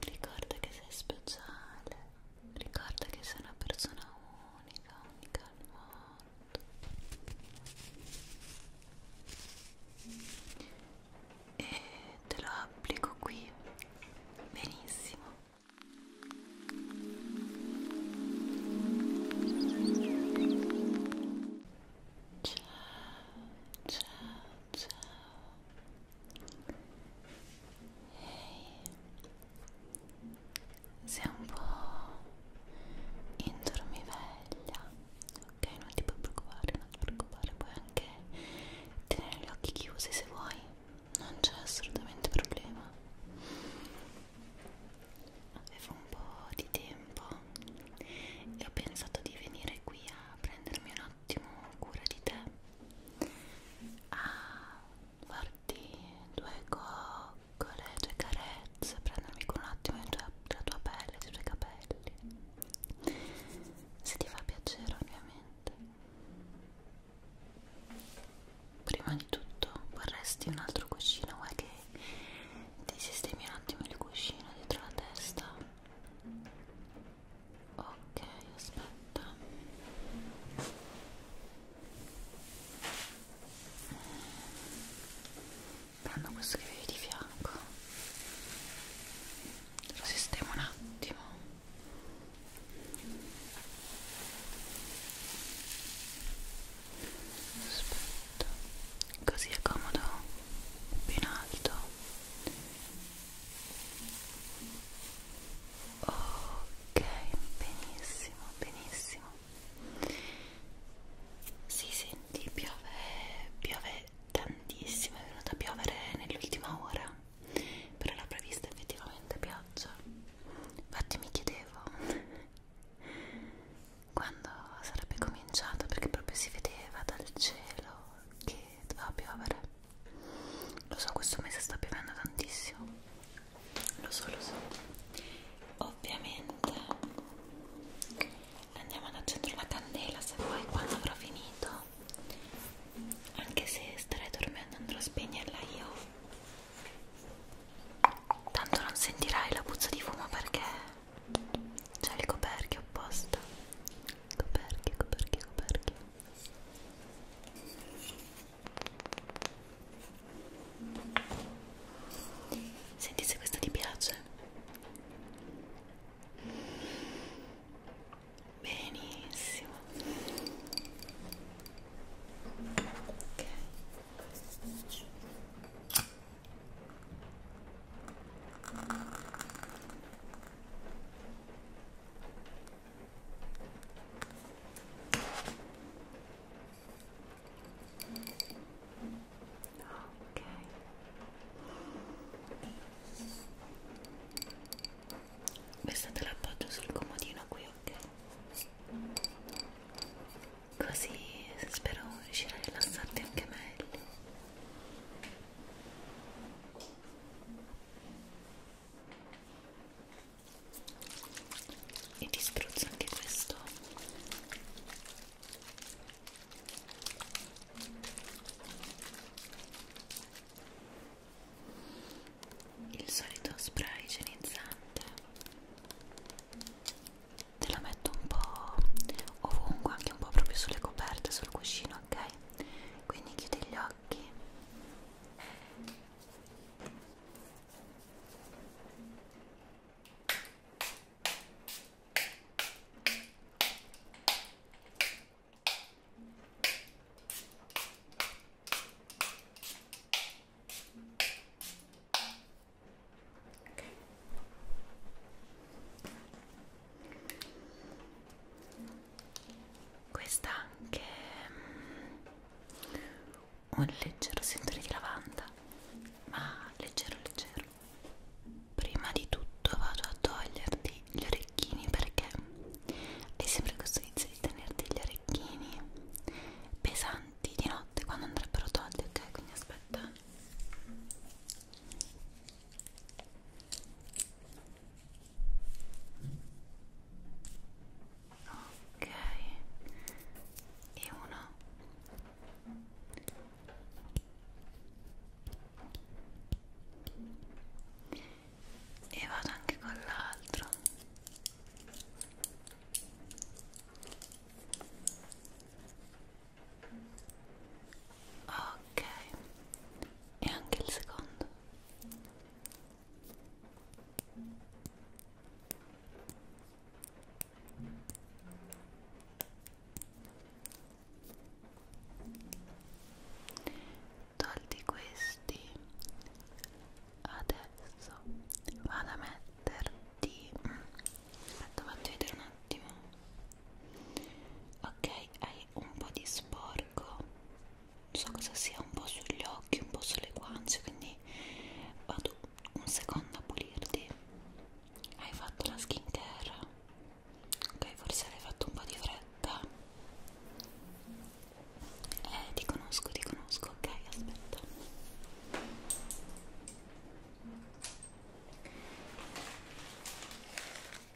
Ricorda che sei speciale, ricorda che sei una persona unica, unica al mondo. E te lo applico qui. Benissimo. Ciao, ciao ciao ehi sei un po' indormiveglia ok non ti puoi preoccupare non ti preoccupare puoi anche tenere gli occhi chiusi se vuoi non c'è assolutamente problema avevo un po' di tempo e ho pensato di venire qui a prendermi un attimo cura di te a farti due coccole, due carezze prendermi con un attimo della tua, tua pelle, dei tuoi capelli se ti fa piacere ovviamente prima di tutto vorresti un altro cuscino vuoi che ti sistemi un attimo il cuscino dietro la testa ok aspetta prendo questo che vedi di fianco lo sistemo un attimo aspetta così è comodo più in alto ok benissimo benissimo si senti piove piove tantissimo è venuta a piovere nell'ultima ora però l'ho prevista effettivamente pioggia infatti mi chiedevo quando sarebbe cominciata perché proprio si vedeva dal cielo che che doveva piovere lo so questo mese sta piovendo tantissimo lo so lo so ovviamente andiamo ad accendere una candela se poi quando avrò finito anche se starei dormendo andrò a spegnerla io tanto non sentirai la puzza di fumo perché c'è il coperchio apposta coperchio coperchio coperchio senti se questo ti piace benissimo ok Ok. Questa te l'appoggio sul comodino qui, ok? Così spero riuscirai a rilassarti anche meglio e ti spruzzo anche questo il solito spray igienizzante te la metto un po' ovunque, anche un po' proprio sulle coperte, sul cuscino, ok? Quindi chiudi gli occhi. Okay questa anche mm, un leggero sentore di lavanda ma leggero leggero prima di tutto vado a toglierti gli orecchini perché hai sempre questo inizio di tenerti gli orecchini pesanti di notte quando andrebbero tolti ok quindi aspetta ok e uno e vado anche con l'altro ok e anche il secondo tolti questi adesso vado a metterti mm, aspetta faccio vedere un attimo ok hai un po' di sporco non so cosa sia un po' sugli occhi un po' sulle guance quindi vado un secondo a pulirti hai fatto la skin care ok forse l'hai fatto un po' di fretta eh ti conosco ti conosco ok aspetta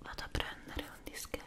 Vado a prendere un dischetto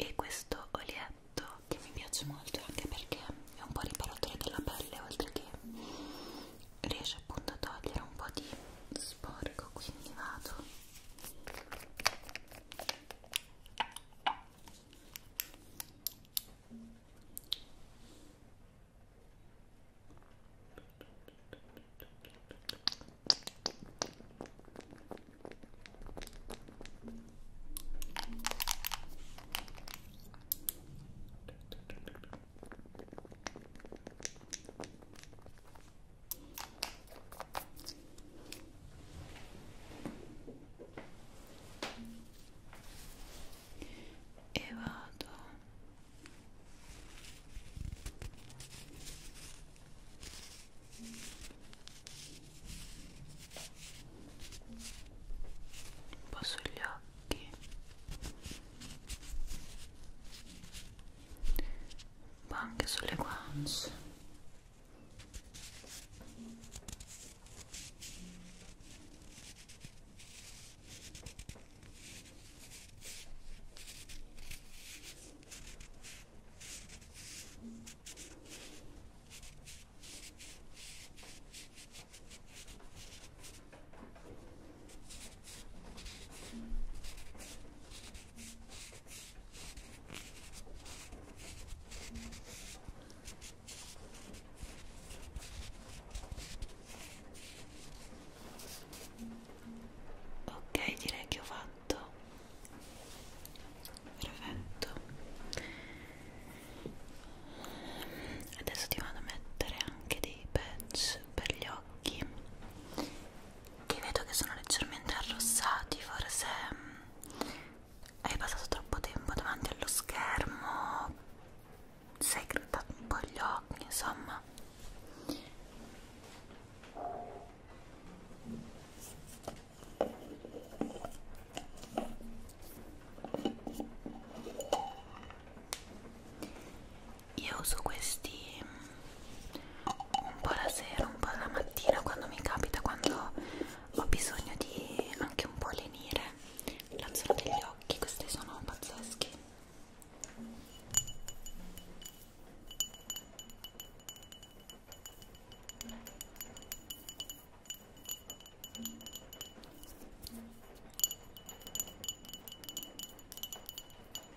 e questo olietto che mi piace molto anche perché è un po' riparatore della pelle oltre che riesce appunto a togliere un po' di sporco quindi vado e vado un po' sugli occhi ma anche sulle guance Ok, direi che ho fatto perfetto. Adesso ti vado a mettere anche dei patch per gli occhi che vedo che sono leggermente arrossati forse mm, hai passato troppo tempo davanti allo schermo sei grattato un po' gli occhi insomma io uso questi mm, un po' la sera, un po' la mattina quando mi capita, quando ho bisogno di anche un po' lenire la zona degli occhi, questi sono pazzeschi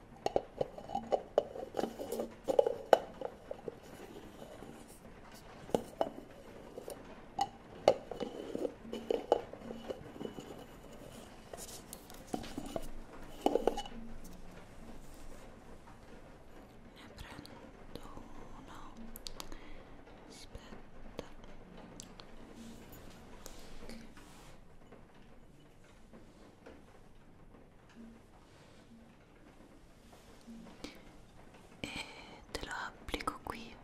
Ne prendo uno. Aspetta. Okay e te lo applico qui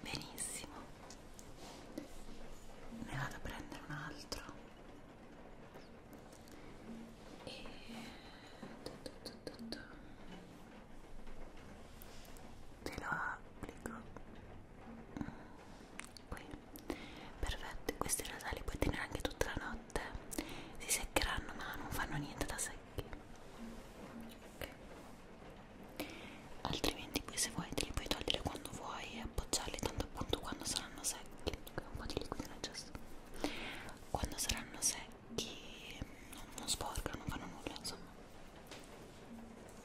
benissimo ne vado a prendere un altro e te lo applico qui perfetto questi rosali puoi tenere anche tutta la notte si seccheranno ma non fanno niente da secchi okay. altrimenti poi se vuoi te li puoi togliere quando vuoi e appoggiarli tanto appunto quando saranno secchi un po' di liquido nel gesso quando saranno secchi non, non sporcano, non fanno nulla insomma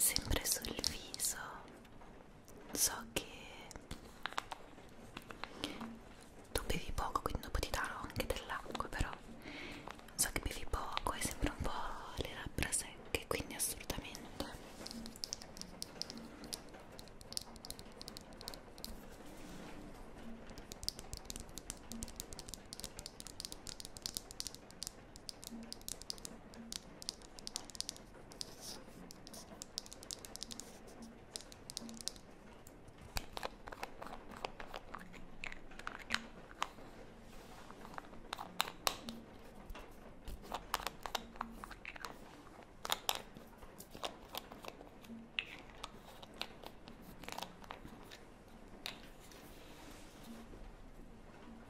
Sempre sul viso so che tu bevi poco quindi dopo ti darò anche dell'acqua però so che bevi poco e sembra un po' le labbra secche quindi assolutamente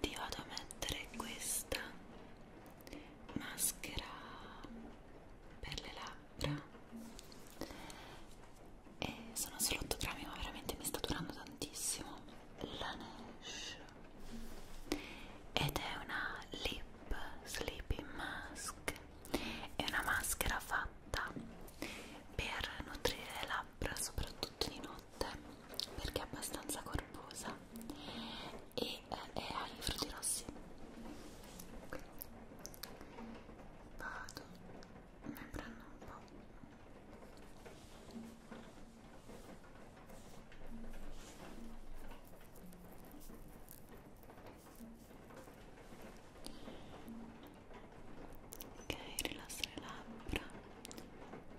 ti vado a mettere questa maschera per le labbra labbra e sono solo 8 grammi ma veramente mi sta durando tantissimo la Nash ed è una lip sleeping mask è una maschera fatta per nutrire le labbra soprattutto di notte perché è abbastanza corposa e eh, è ai frutti rossi vado, ne prendo un po'. Ok, rilassa le labbra.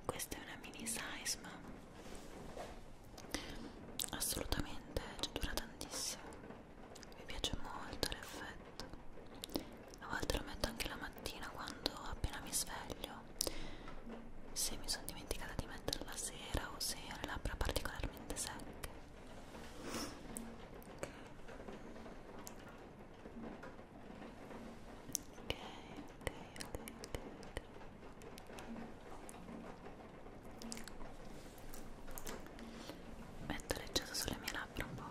Questa è una mini size, ma assolutamente, cioè dura tantissimo mi piace molto l'effetto a volte lo metto anche la mattina quando appena mi sveglio se mi sono dimenticata di metterlo la sera o se ho le labbra particolarmente secche ok, ok, ok, ok, okay metto leggero sulle mie labbra un po'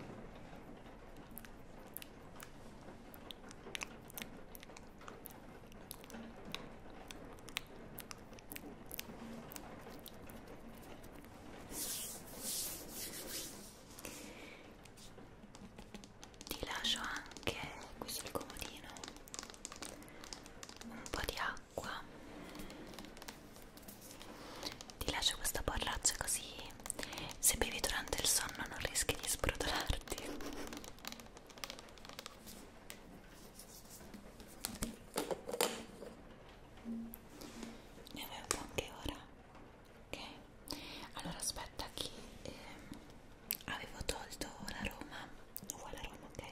ti lascio anche qui sul comodino un po' di acqua ti lascio questa borraccia così se bevi durante il sonno non rischi di sbrodolarti. Ne avevo anche ora. Ok. Allora aspetta che eh, avevo tolto la Roma. Uguale a Roma, ok.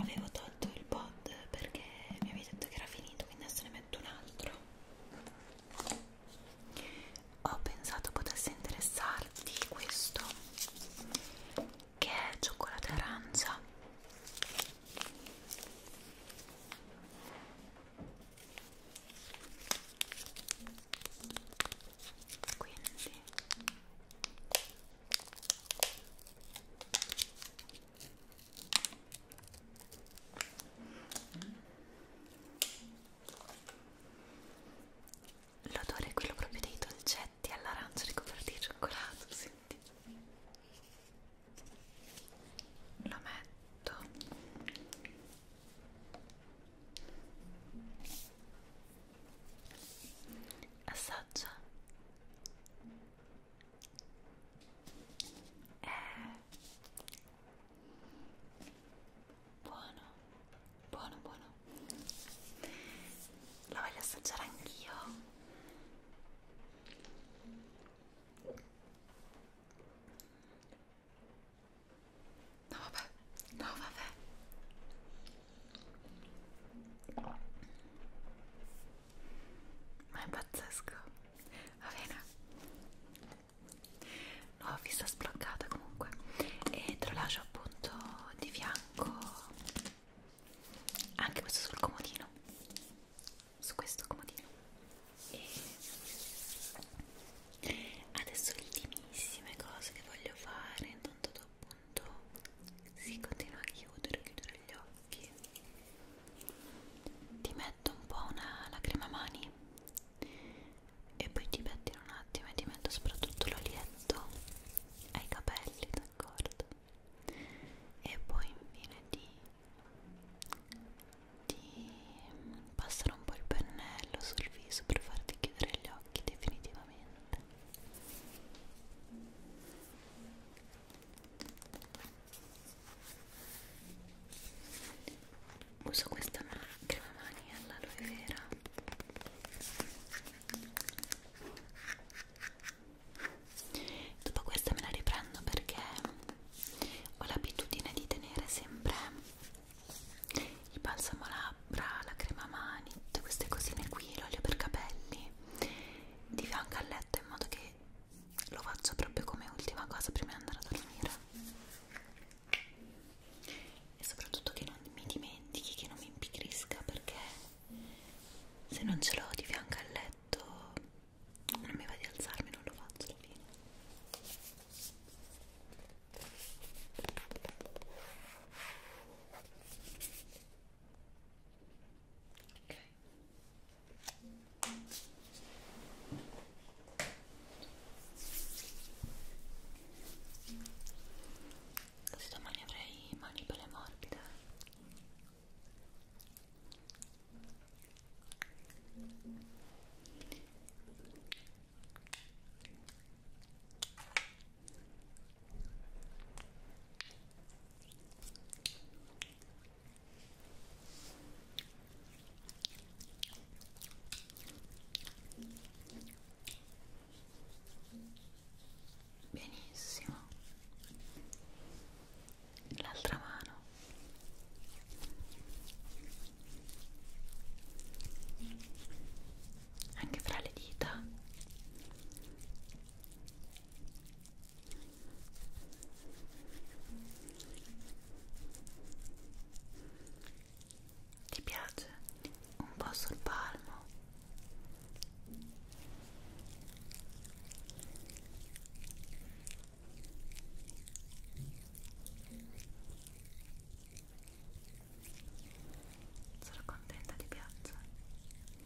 Avevo tolto tolto il pod perché mi avevi detto che era finito quindi adesso ne metto un altro ho pensato potesse interessarti questo che è cioccolato arancia quindi L'odore è quello proprio dei dolcetti all'arancio ricoperti di cioccolato, senti? Lo metto. Assaggia è eh. buono buono buono la voglio assaggiare anch'io no vabbè no vabbè ma è pazzesco va bene nuova vista sbloccata comunque e te lo lascio appunto di fianco anche questo sul comodino su questo comodino e adesso le ultimissime cose che voglio fare intanto tu appunto si continua a chiudere chiudere gli occhi occhi ti metto un po' una lacrima mani e poi ti pettino un attimo e ti metto soprattutto l'olietto ai capelli, d'accordo? E poi infine ti, ti passano un po' il pennello sul viso per farti chiudere gli occhi definitivamente uso questa ma crema mani all'aloe vera dopo questa me la riprendo perché ho l'abitudine di tenere sempre il balsamo labbra, la crema mani, tutte queste cosine qui, l'olio per capelli di fianco al letto in modo che lo faccio proprio come ultima cosa prima di andare a dormire e soprattutto che non mi dimentichi che non mi impigrisca perché se non ce l'ho di fianco al letto non mi va di alzarmi non lo faccio alla fine ok Così domani avrei mani belle morbide. Benissimo. L'altra mano. Anche fra le dita. Ti piace? Un po' sul palmo. Sono contenta di piacere.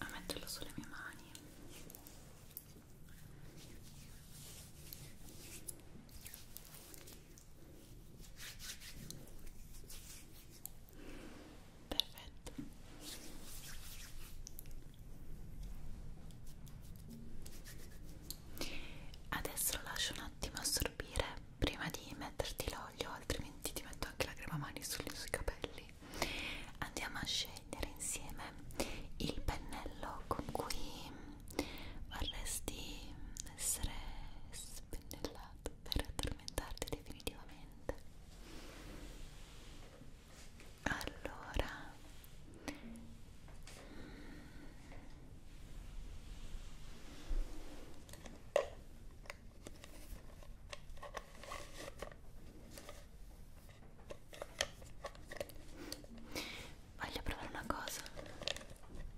a metterlo sulle mie mani perfetto adesso lascio un attimo a assorbire prima di metterti l'olio, altrimenti ti metto anche la crema mani sugli, sui capelli. Andiamo a scegliere insieme il pennello con cui vorresti essere spennellato per addormentarti definitivamente. Allora Voglio provare una cosa. Allora abbiamo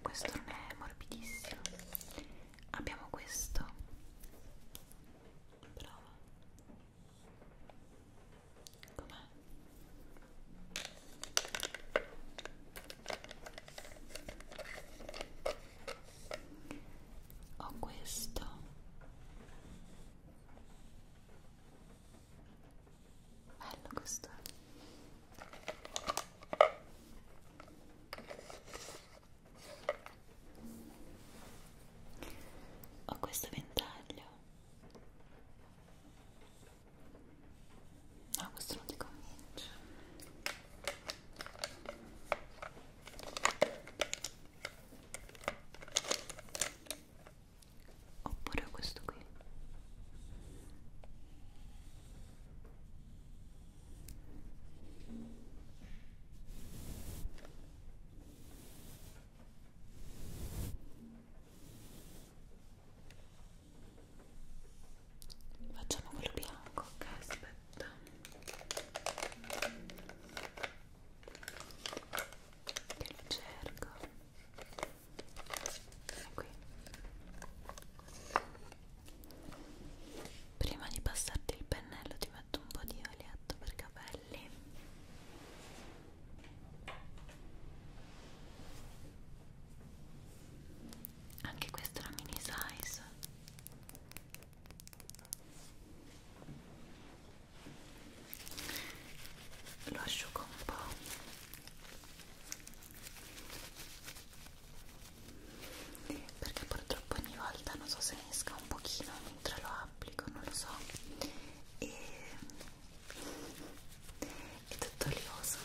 questo non è morbidissimo abbiamo questo prova com'è? ho questo Bello questo. Eh. Ho questo ventaglio. No, questo non ti convince oppure questo qui Facciamo quello bianco, ok? Aspetta che lo cerco è qui prima di passarti il pennello ti metto un po' di oleato per capelli anche questa è la mini size lo asciugo un po' perché purtroppo ogni volta non so se ne esca un pochino mentre lo applico non lo so e è tutto olioso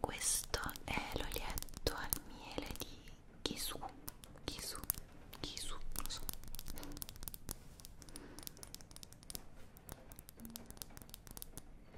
questo è l'olietto al miele di Kisu, Kisu, Kisu, lo so.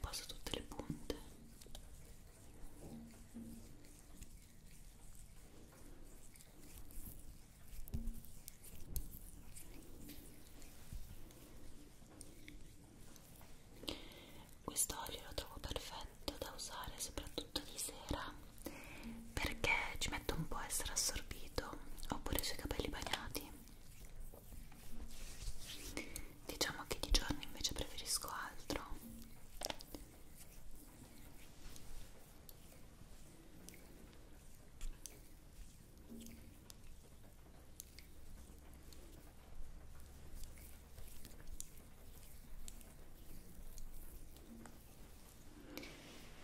passo tutte le punte quest'olio lo trovo perfetto da usare soprattutto di sera perché ci mette un po' a essere assorbito oppure sui capelli bagnati Diciamo che di giorno invece preferisco altro.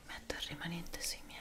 Metto il rimanente sui miei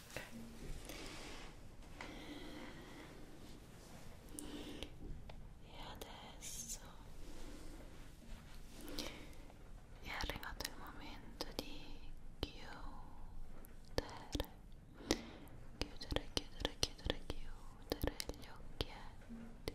e adesso è arrivato il momento di chiudere chiudere chiudere chiudere chiudere gli occhietti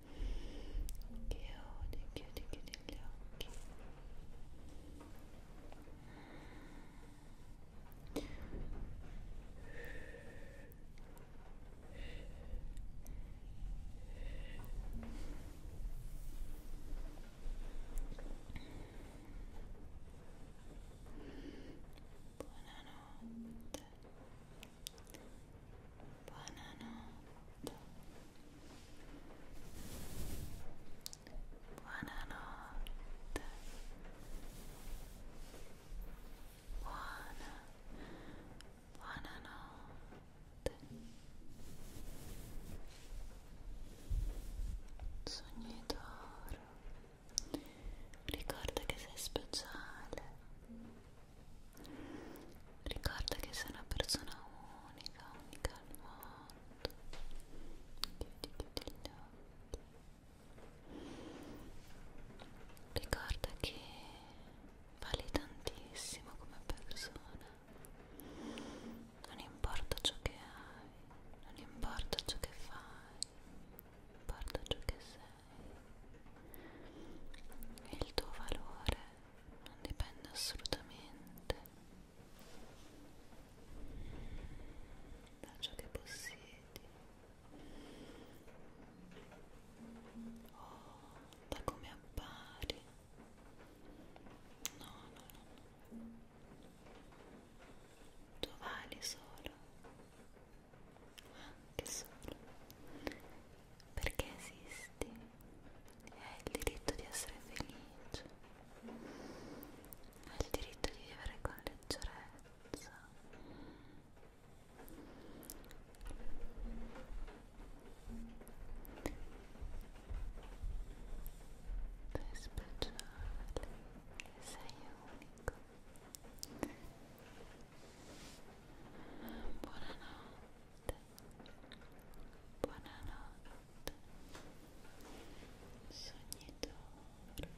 chiudi, chiudi, chiudi gli occhi Buonanotte. Buonanotte. Buonanotte. Buona. Buonanotte. Sogni d'oro. Ricorda che sei speciale. Ricorda che sei una persona unica, unica al mondo. Chiudi, chiudi gli occhi. Ricorda che vali tantissimo come persona. Non importa ciò che hai, non importa ciò che fai, non importa ciò che sei. Il tuo valore non dipende assolutamente da ciò che possiedi o da come appari no no no tu vali solo anche solo perché esisti hai il diritto di essere felice hai il diritto di vivere con leggerezza sei speciale sei unico buonanotte buonanotte, sognatore,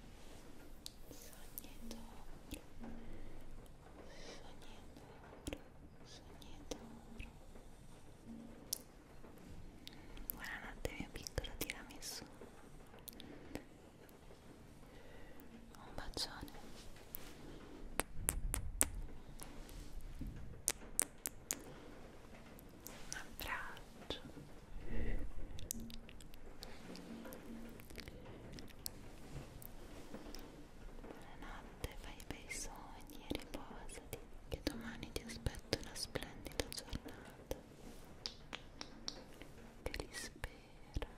sognatore, sognatore, sognatore. Buonanotte mio piccolo tiramisù. Un bacione un abbraccio buonanotte fai bei sogni e riposati che domani ti aspetto una splendida giornata che li spera